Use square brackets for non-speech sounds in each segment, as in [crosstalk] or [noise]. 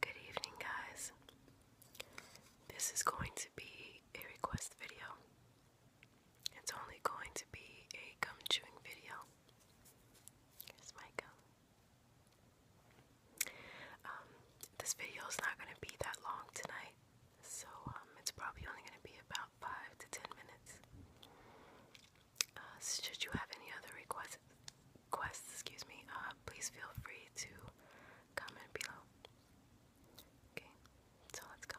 Good evening, guys. This is going to be a request video. It's only going to be a gum chewing video. Here's my gum. Um, this video is not going to be that long tonight, so um, it's probably only going to be about five to ten minutes. Uh, should you have any other requests, requests excuse me, uh, please feel free to comment below. Okay, so let's go.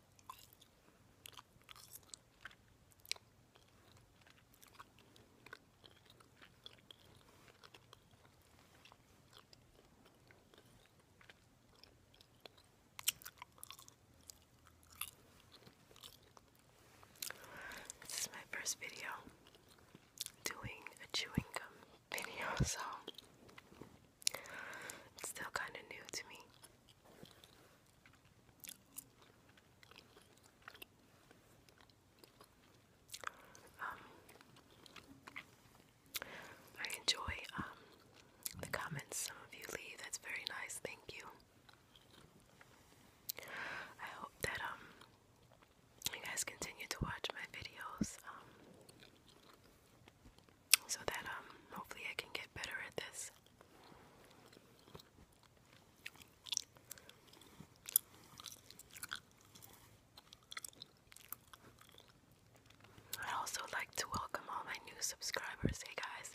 This is my first video doing a chewing gum video, [laughs] so it's still kind of new to me. Um, I enjoy um, the comments some of you leave. That's very nice. Thank you. I hope that um, you guys continue to watch my videos so that um hopefully I can get better at this. i also like to welcome all my new subscribers. Hey guys,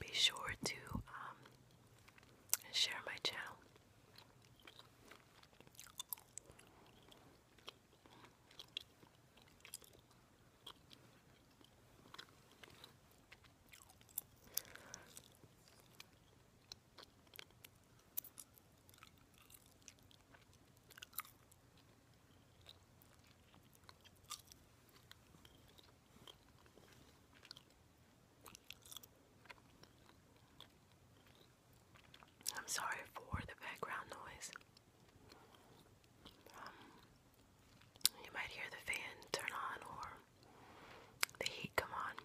be sure to um, share my channel. I'm sorry for the background noise. Um, you might hear the fan turn on or the heat come on.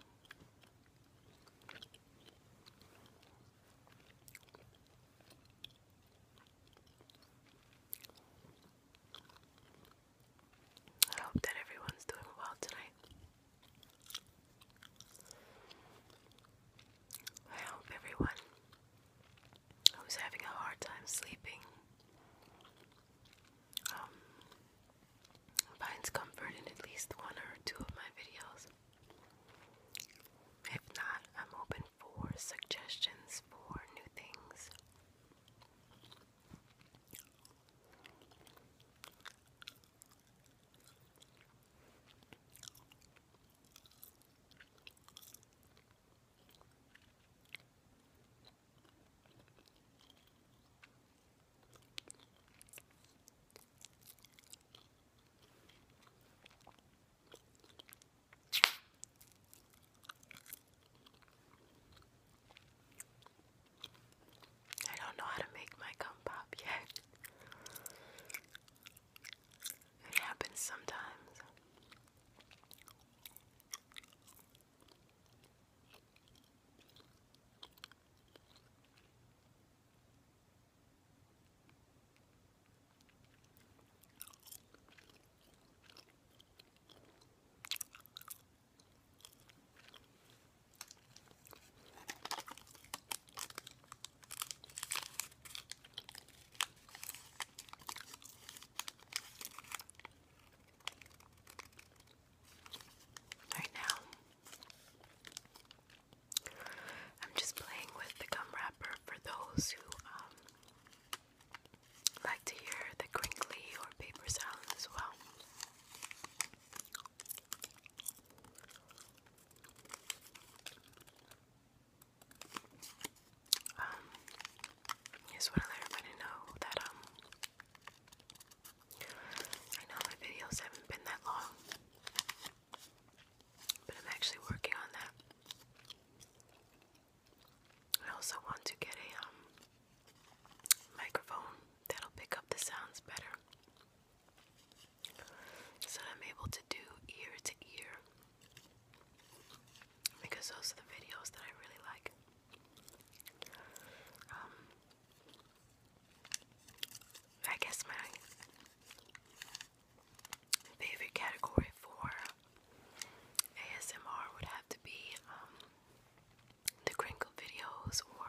I hope that everyone's doing well tonight. I hope everyone I was having a hard time sleeping. Um, finds comfort in at least one or two of my videos. If not, I'm open for suggestions for new things. I don't know how to make my gum pop yet. It happens sometimes. Right now, I'm just playing with the gum wrapper for those who um, like to hear the crinkly or paper sounds as well. Um, I just want to let everybody know that, um, I know my videos haven't been that long, but I'm actually working on that. I also want to get a, um, microphone that'll pick up the sounds better so I'm able to do ear to ear because those are the videos that I really like. Um, I guess my favorite category for ASMR would have to be um, the crinkle videos, or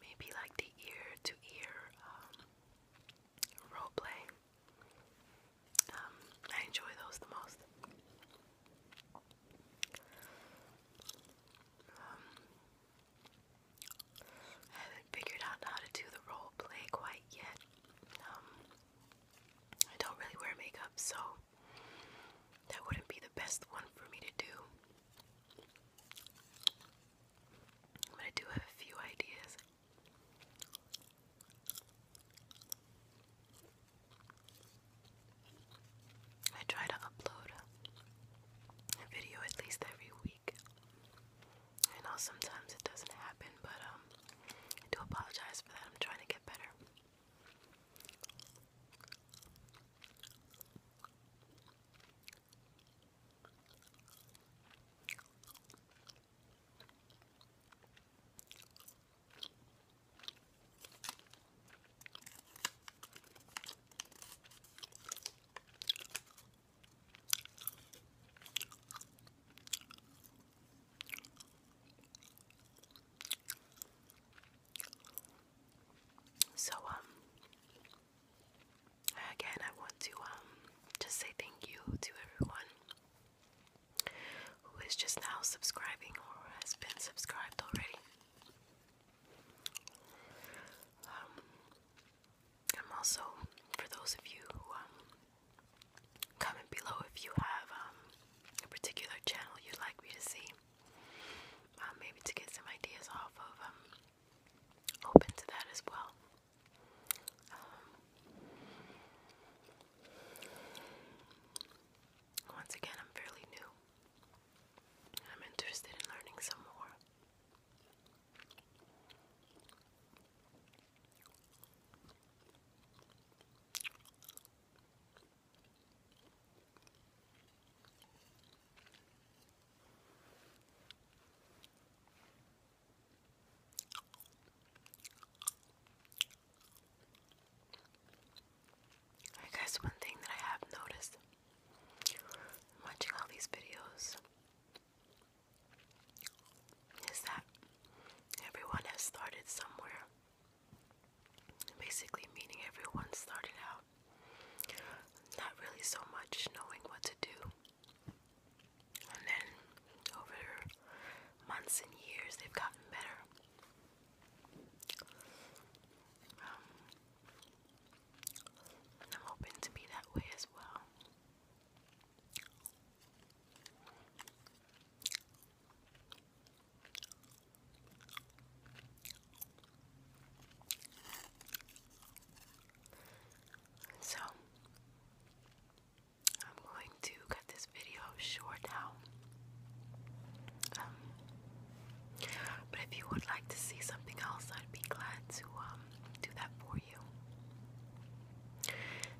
maybe like the ear to ear role play. Um, I enjoy those the most. Um, I haven't figured out how to do the role play quite yet. Um, I don't really wear makeup, so that wouldn't be the best one for me to do. But I do have a few ideas. I try to upload a video at least every week. I sometimes it doesn't happen, but um, apologize for that. I'm trying to get better. So, um, Again, I want to um, just say thank you to everyone who is just now subscribing or has been subscribed already. Um, I'm also for those of you who um, comment below if you have a particular channel you'd like me to see. maybe to get some ideas off of, um, open to that as well. Um, once again, I'm fairly new. I'm interested in learning some more. I guess one thing that I have noticed watching all these videos is that everyone has started somewhere. Basically, meaning everyone started out not really so much knowing what to do. And then over months and years, they've gotten better. Um, I'm hoping to be that way as well. So, I'm going to cut this video short now. Um, but if you would like to see something else, I'd be glad to um, do that for you.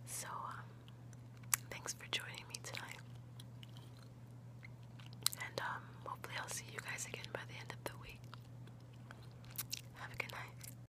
So, um, thanks for joining me tonight. And hopefully, I'll see you guys again by the end of the week. Have a good night.